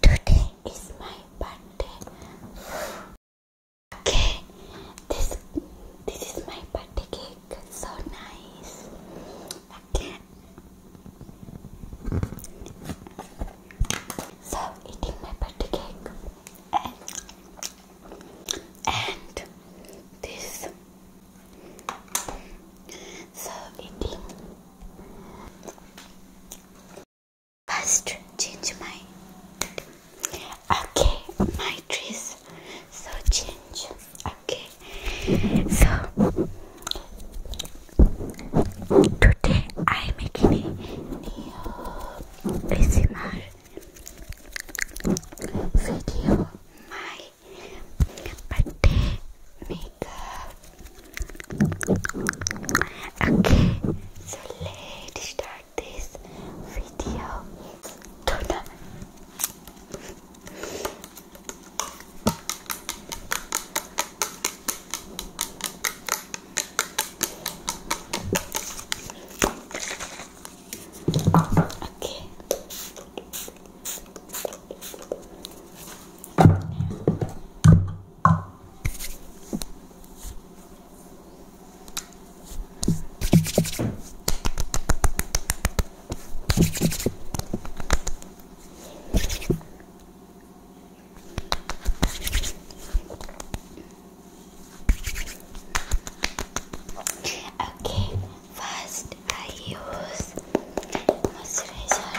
Today is my birthday. Okay, this this is my birthday cake. So nice. So eating my birthday cake and this. So eating. First, change my. Okay, my dress. So change. Okay. So today I'm making a new video. My birthday. Make Okay, so let's start this video Okay. Okay, first I use moisturizer.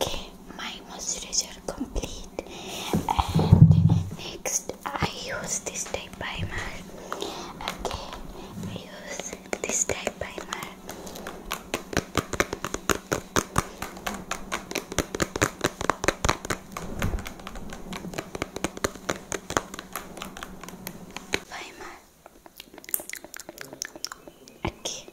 Okay, my moisturizer complete and next I use this type primer. Okay, I use this type primer. Primer. Okay.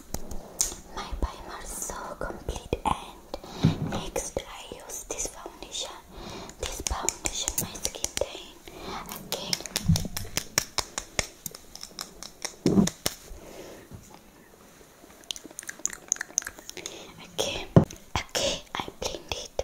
my primer is so complete and next I use this foundation this foundation my skin tone again okay okay I blend it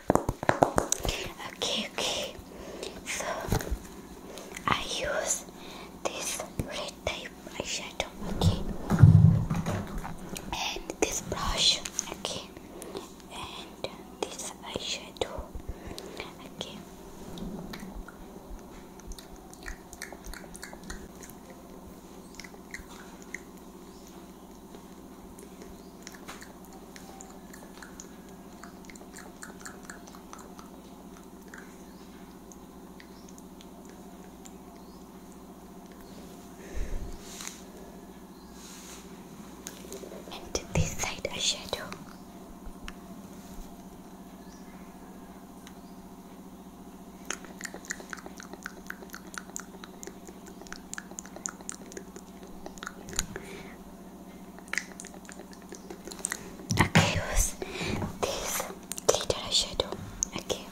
Okay, okay. So I use this red type eyeshadow, okay, and this brush, okay, and this eyeshadow, okay. And to this side, a shadow. Okay, use this glitter eyeshadow. Okay.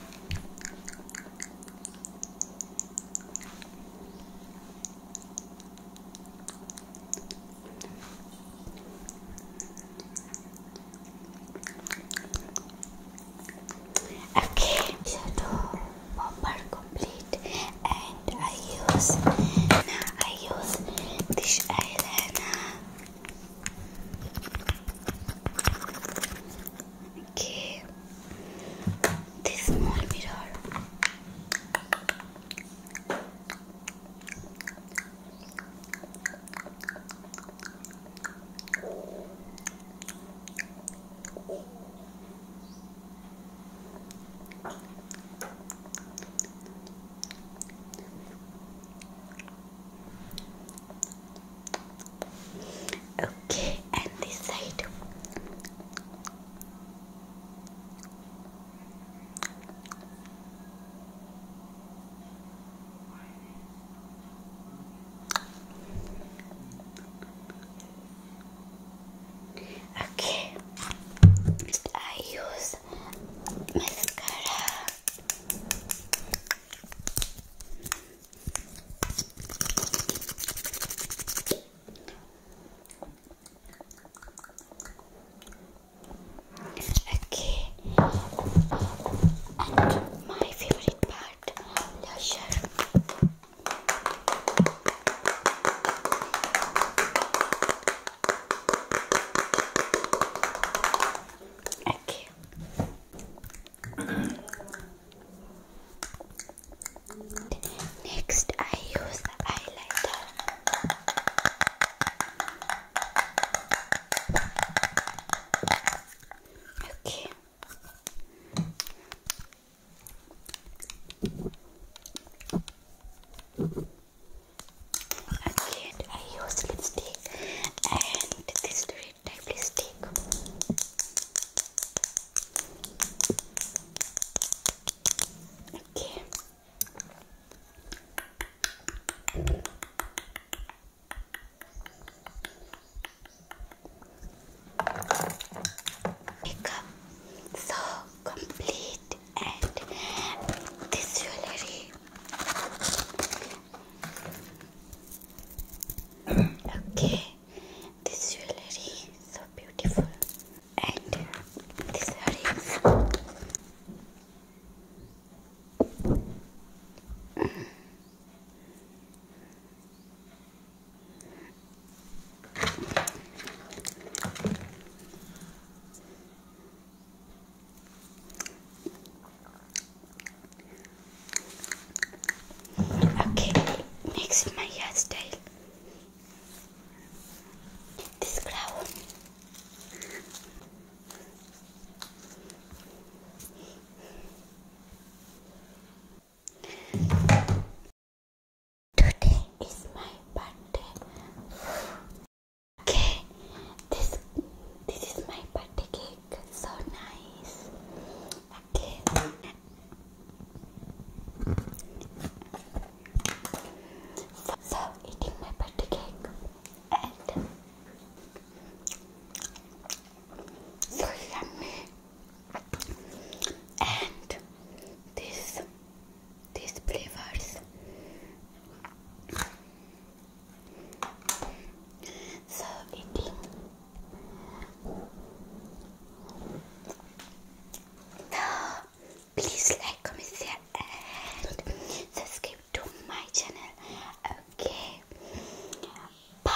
Okay, shadow bumper complete and I use I use this eyeliner okay this small mirror Okay, and this side. Okay, I use mascara. Okay, and my favorite part, blusher. Aqui. Next, I use highlighter. Okay. Again, I use lipstick and this red lipstick. Okay. Makeup so complete and this jewelry okay this jewelry is so beautiful and this earrings mm. Okay, next my hairstyle. This crown. Today is my birthday. Okay, this this is my birthday cake. So nice. Okay. So, so eating my birthday cake and so yummy and this these flavors so eating now please like comment share and subscribe to my channel okay bye